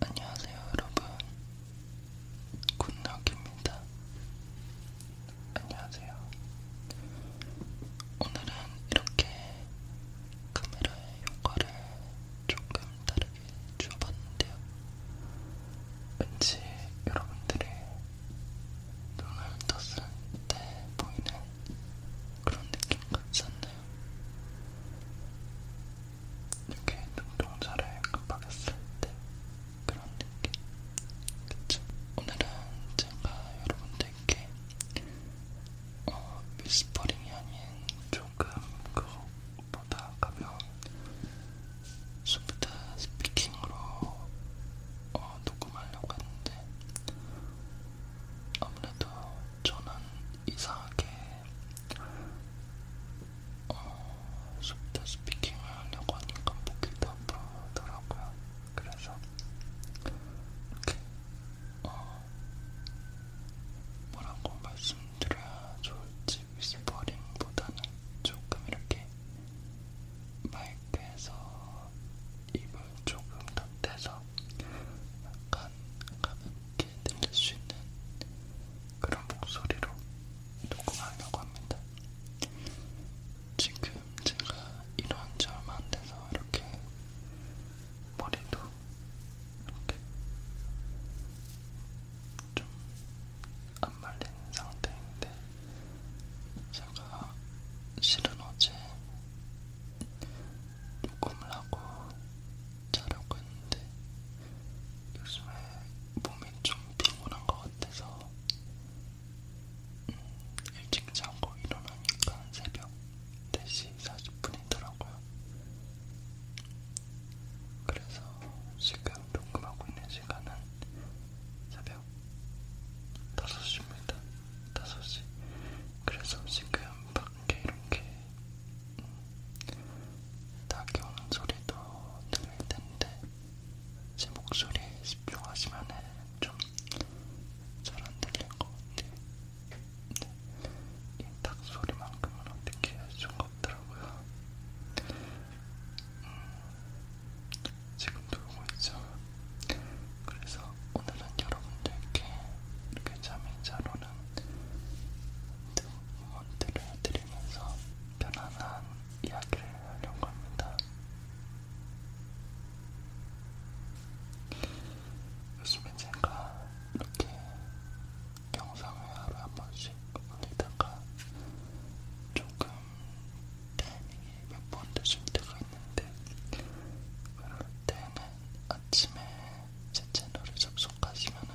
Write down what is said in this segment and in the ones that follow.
안녕하세요 여러분 굿나입니다 안녕하세요 오늘은 이렇게 카메라의 효과를 조금 다르게 주어봤는데요 왠지 여러분들이 눈을 떴을 때 보이는 그런 느낌 같지 않나요? 이렇게 눈동자를 깜빡했을 때 그런 느낌 그쵸? 오늘은 제가 여러분들께 어, 미스퍼링이 아닌 조금 그것보다 가벼운 소프트 스피킹으로 어, 녹음하려고 했는데 아무래도 저는 이상하게 어, 소프트 스피킹을 하려고 하니까 목이 다 부르더라고요. 그래서 이렇게 어, 뭐라고 말씀드려야 좋을지 위스퍼링보다는 조금 이렇게 마이크에서 입을 조금 더 떼서 약간 가볍게 쉽게 들릴 수 있는 그런 목소리로 녹음하려고 합니다. 지금 제가 이런 점안 돼서 이렇게 머리도 이렇게 좀 안 말린 상태인데 제가 실은 어제 녹음을 하고 자려고 했는데 요즘에 몸이 좀 피곤한 것 같아서 음, 일찍 자고 일어나니까 새벽 4시 40분이더라고요. 그래서 지금 녹음하고 있는 시간은 새벽 5시입니다. 5시. 그래서 지금 밖에 이렇게 낙엽 소리도 들릴 텐데 제 목소리에 집중하시면 좀잘안 들릴 것 같아요. 네. 이닭 소리만큼은 어떻게 할수 없더라고요. 음, 지금 놀고 있죠. 그래서 오늘은 여러분들께 이렇게 잠이 잘 오는 또 응원들을 드리면서 편안한 이야기를 하려고 합니다. 요즘에 제가 이렇게 영상을 하루에 한 번씩 올리다가 조금 타이밍이 몇번 늦을 때가 있는데 그럴 때는 아침에 제 채널에 접속하시면은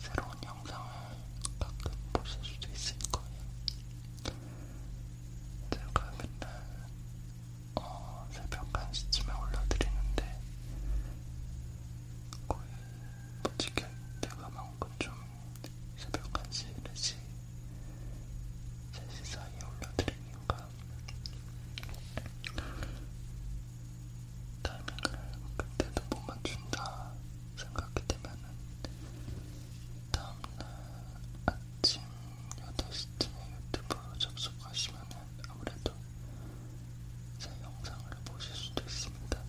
새로운 영상을 가끔 보실 수도 있을 거예요. 제가 맨날 어, 새벽 1시쯤에 올려드리는데 거의 못 지킬 때가 많고 좀 새벽 1시, 4시, 3시 사이에 올려드리니까 뭔가 타이밍을 그때도 못 맞춘다 생각이 되면은 다음날 아침 8시쯤에 유튜브로 접속하시면은 아무래도 제 영상을 보실 수도 있습니다.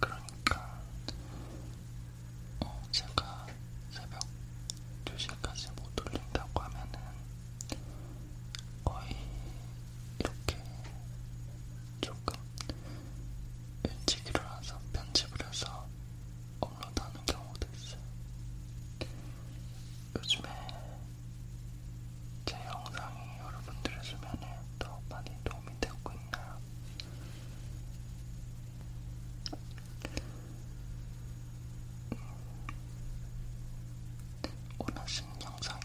그러니까 어, 제가 새벽 2시까지 못 올린다고 하면은 거의 이렇게 조금 일찍 일어나서 편집을 해서 업로드하는 경우도 있어요. 요즘에 제 영상이 여러분들의 수면에 더 많이 도움이 되고 있나요? 음, 원하시는 영상에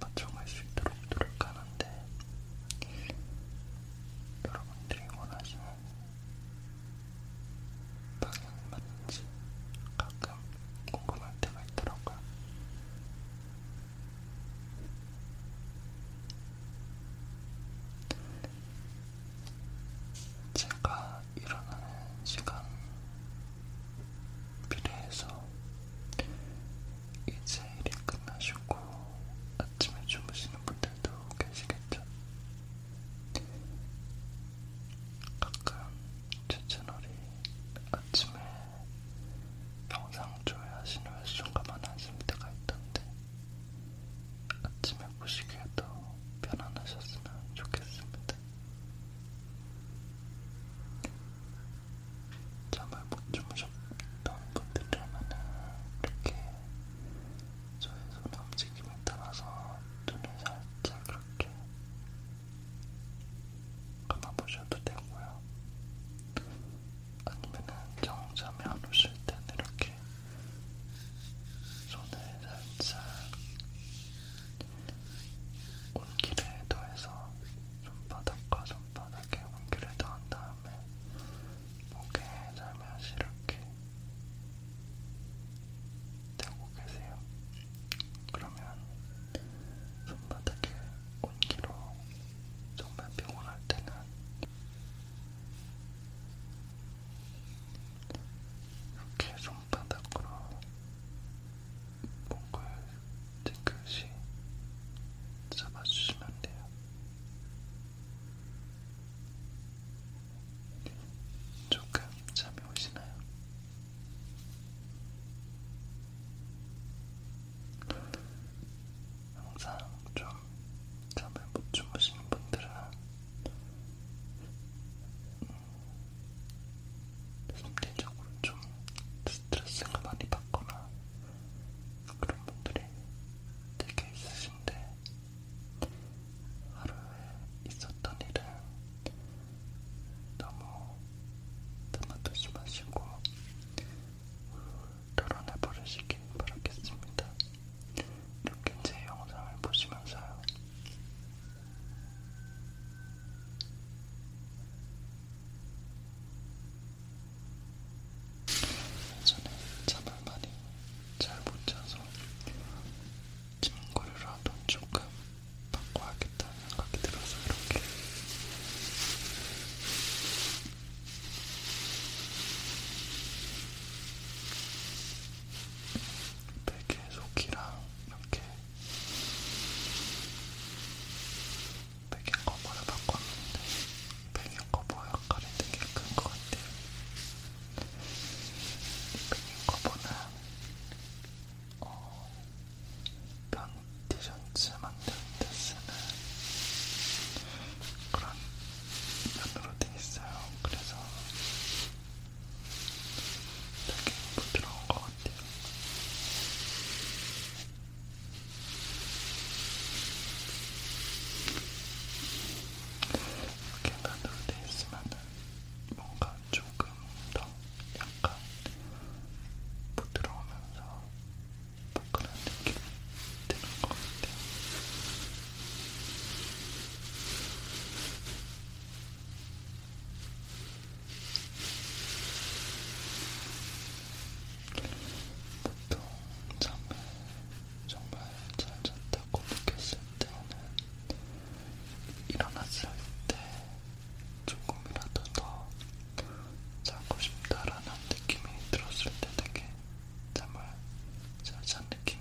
맞춰갈 수 있도록 노력하는데 여러분들이 원하시는 방향이 맞는지 가끔 궁금할 때가 있더라고요. 제가 일어나는 시간 비례해서 이제 일이 끝나시고 아침에 주무시는 분들도 계시겠죠? 가끔 제 채널이 아침에 영상 조회하시는 횟수가 많아질 때가 있던데 아침에 보시기에도 편안하셨으면 좋겠습니다. 같아. 잠을 못 주무셨던 분들이라면은 이렇게 저의 손의 움직임에 따라서 눈을 살짝 그렇게 감아보셔도 되고요. 아니면은 정잠이 안 오실 때는 이렇게 손을 살짝 온기를 더해서 손바닥과 손바닥에 온기를 더한 다음에 목에 살며시 이렇게 대고 계세요. 그러면 손바닥에 온기로 정말 피곤할 때는 이렇게 손바닥으로 목을 뒤끝이 잡아주시면 돼요. 조금 잠이 오시나요? 항상 좀 잠을 못 주무시는 분들은 심리적으로 좀 스트레스가 많이 받거나 그런 분들이 되게 있으신데 하루에 있었던 일은 너무 담아두지 마시고 덜어내버리시길 바라겠습니다. 이렇게 제 영상을 보시면서요. 예전에 잠을 많이 잘 못 자서 친구를 하던 조금 바꿔야겠다는 생각이 들어서 이렇게 베개 네, 속이랑 이렇게 배경 커버를 바꿨는데 배경 커버 역할이 되게 큰것 같아요. 배경 커버는 어, 면 티셔츠 만드는데 쓰는 그런 면으로 돼 있어요. 그래서 되게 부드러운 것 같아요. 이렇게 나누어 돼 있으면 뭔가 조금 더 약간 부드러우면서 포근한 느낌이 드는 것 같아요. 이렇게 보통 잠을 정말 잘 잤다고 느꼈을 때는 일어났을 때 조금이라도 더 자고 싶다라는 느낌이 들었을 때 되게 잠을 잘잔 느낌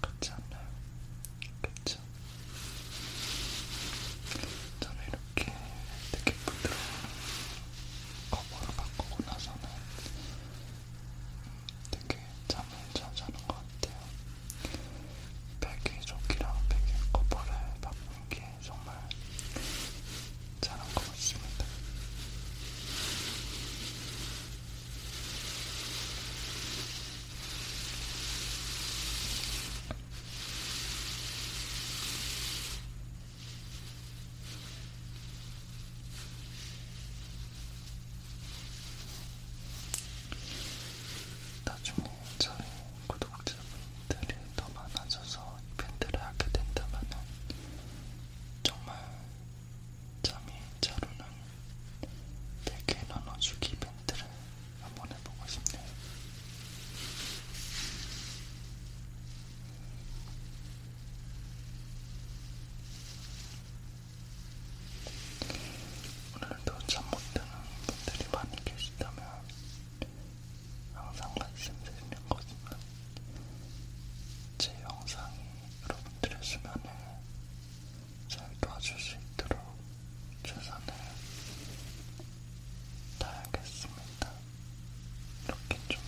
같지 않나요? 그치? 그죠? 저는 이렇게 되게 부드러운 커버로 바꾸고 나서는 되게 잠을 잘 자는 것 같아요. 베개 조끼랑 베개 커버를 바꾸는 게 정말 잘한 것 같습니다. 나중에 저희 구독자분들이 더 많아져서 이벤트를 하게 된다면 정말 잠이 잘 오는 4개 나눠주기 이벤트를 한번 해보고 싶네요. 오늘도 잠못 드는 분들이 많이 계시다면 항상 말씀드리는 거지만 제 영상이 여러분들의 수면에 잘 도와줄 수 있도록 최선을 다하겠습니다. 이렇게 좀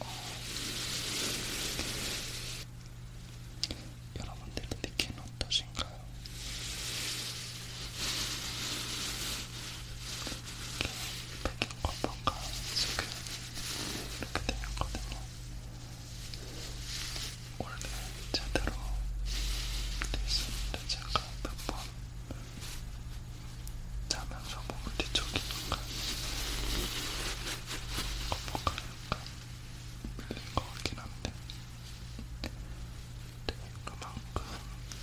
어, 여러분들의 느낌은 어떠신가요? 이렇게 백인 겉판과 속에 이렇게 되어 있거든요. 원래 제대로 됐습니다. 제가 몇번 자면서 몸을 뒤쪽이 약간 거북하게 약간 밀린 거 같긴 한데 되게 네, 그만큼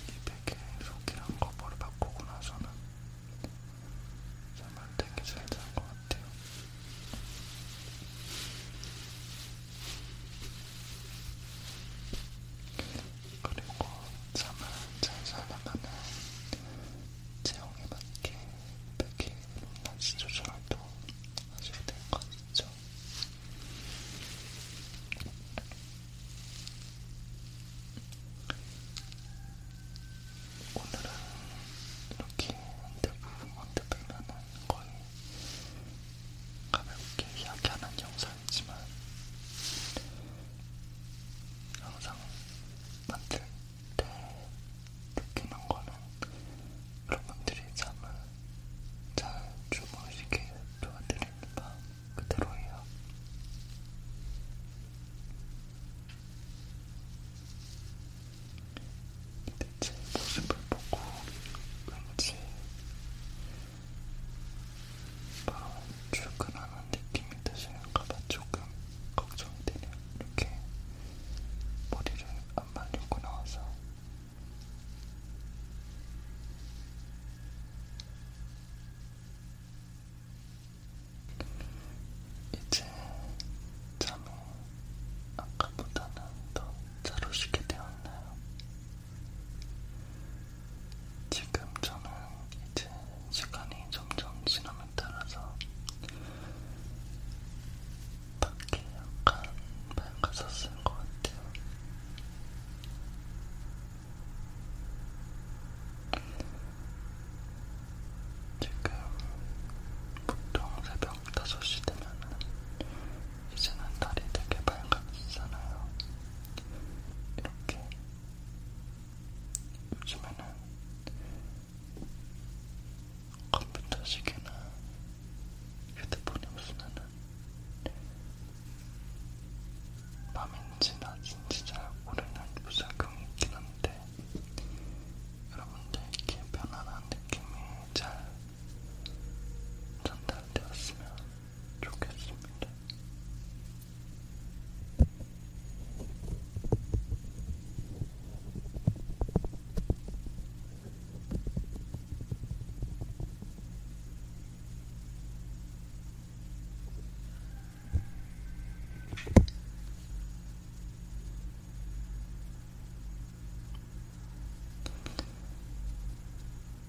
이 베개 속이랑 거버를 바꾸고 나서는 잠을 되게 잘잔것 같아요. 그리고 잠을 잘자나가면 체형에 맞게 특히 몸날씨 조절도 하셔야 될것 같죠. 오늘은 이렇게 언뜻 보면 거의 가볍게 이야기하는 영상이지만 항상 만들 때 느끼는 거는 여러분들이 잠을 잘 주무시게 도와드립니다. 그대로예요. 대체 모습을 보고 왠지 바로 출근하는 느낌이 드시는가봐 조금 걱정되네요. 이렇게 머리를 안 말리고 나와서 이제 잠이 아까보다는 더잘 오시게 되었나요? 지금 저는 이제 시간이 점점 지나면 따라서 밖에 약간 밝아졌을 것 같아요. 지금 보통 새벽 5시 되면 이제는 달이 되게 밝아지잖아요. 이렇게 요즘에는 컴퓨터 시계나 휴대폰이 없으면은 밤인지 낮인지 잘 모르는 무작용이 있긴 한데 여러분들 이렇게 편안한 느낌이 잘 전달되었으면 좋겠습니다.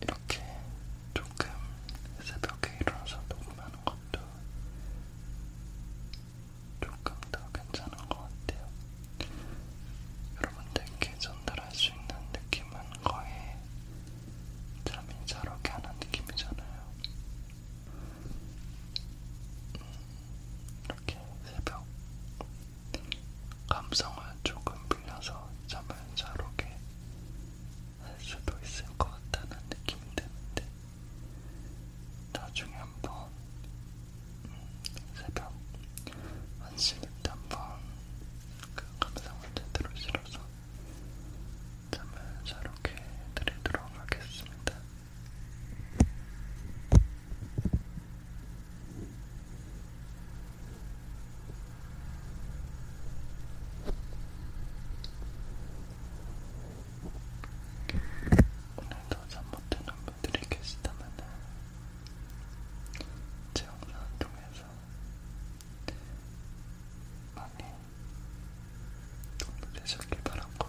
이렇게 조금 새벽에 일어나서 녹음하는 것도 조금 더 괜찮은 것 같아요. 여러분들께 전달할 수 있는 느낌은 거의 잠이 잘 오게 하는 느낌이잖아요. 음, 이렇게 새벽 감성을 조금 빌려서 잠을 잘 오게 할 수도 있을 것 같다는 느낌이 드는데 나중에 한번 음, 새벽 1시부터 한번 그 감성을 제대로 실어서 잠을 잘 오게 해드리도록 하겠습니다. 오늘도 잠못드는 분들이 계시다면 제 영상을 통해서 많이 도움이 되셨길 바라고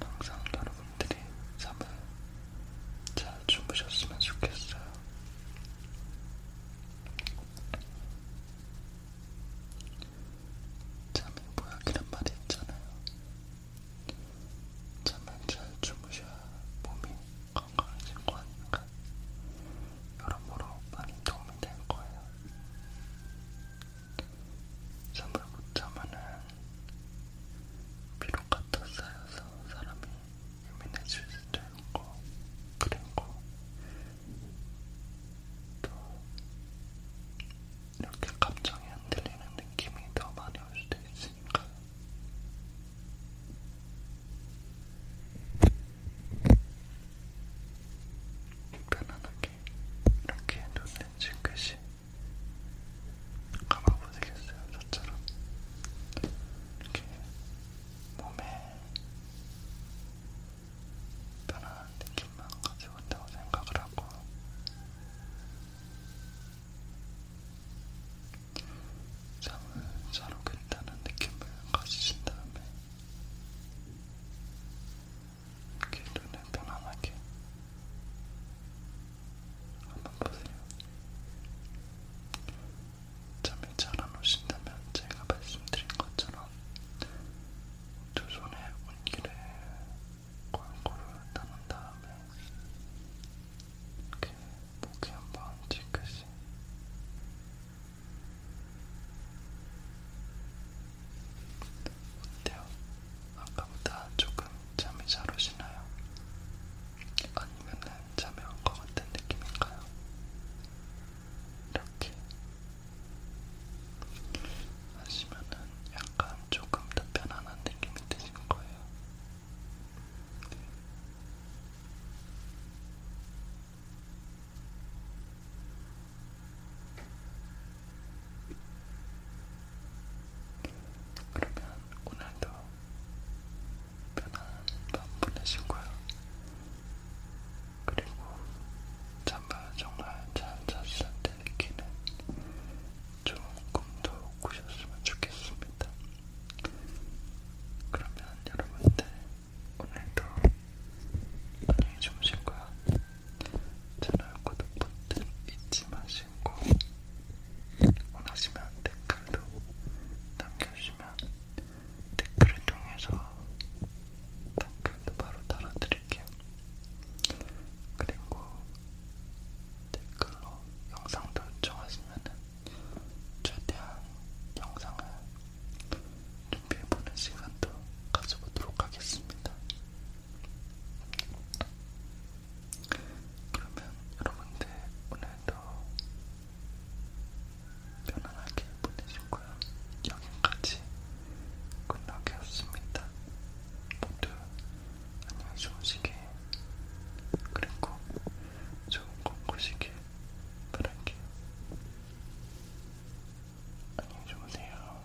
항상 여러분들이 잠을 잘 주무셨으면 좋겠어요. 잠이 보약이란 말이 있잖아요. 잠을 잘 주무셔야 몸이 건강해진 거 아닌가? 여러모로 많이 도움이 될 거예요. 잠을 못 자면은 피로가 더 쌓여서 사람이 예민해질 수도 있고 그리고 또 이렇게 감정이 흔들리는 느낌이 더 많이 올 수도 있으니까 편안하게 이렇게 눈을 찌그시 감아보시겠어요? 저처럼 이렇게 몸에 편안한 느낌만 가지고 있다고 생각을 하고 잠을 잘 오겠다는 느낌을 가지신 다음에 이렇게 눈을 편안하게 한번 보세요. 잠이 잘 안 오신다면 제가 말씀드린 것처럼 두 손에 온기를 골고루 나눈 다음에 이렇게 목에 한번 찌그시 어때요? 아까보다 조금 잠이 잘 오시나요? 아니면은 잠이 온 것 같은 느낌인가요? 이렇게 하시면은 약간 조금 더 편안한 느낌이 드신 거예요. 네. 그러면 오늘도 편안한 밤 보내시고요. 그리고 잠바 정말 잘 잤을 때 느끼는 좋은 꿈도 꾸셨으면 좋겠습니다. 그러면 여러분들 오늘도 안녕히 주무시고요. 채널 구독 버튼 잊지 마시고 원하시면 댓글도 남겨주시면 댓글을 통해서 댓글도 바로 달아드릴게요. 그리고 댓글로 영상도 요청하시면 최대한 영상을 준비해보는 시간도 가져보도록 하겠습니다. 그러면 여러분들 오늘도 편안하게 보내시고요. 여기까지 끝나겠습니다. 모두 안녕히 주무시길 그리고 좋은 꿈 꾸시길 바랄게요. 안녕히 주무세요.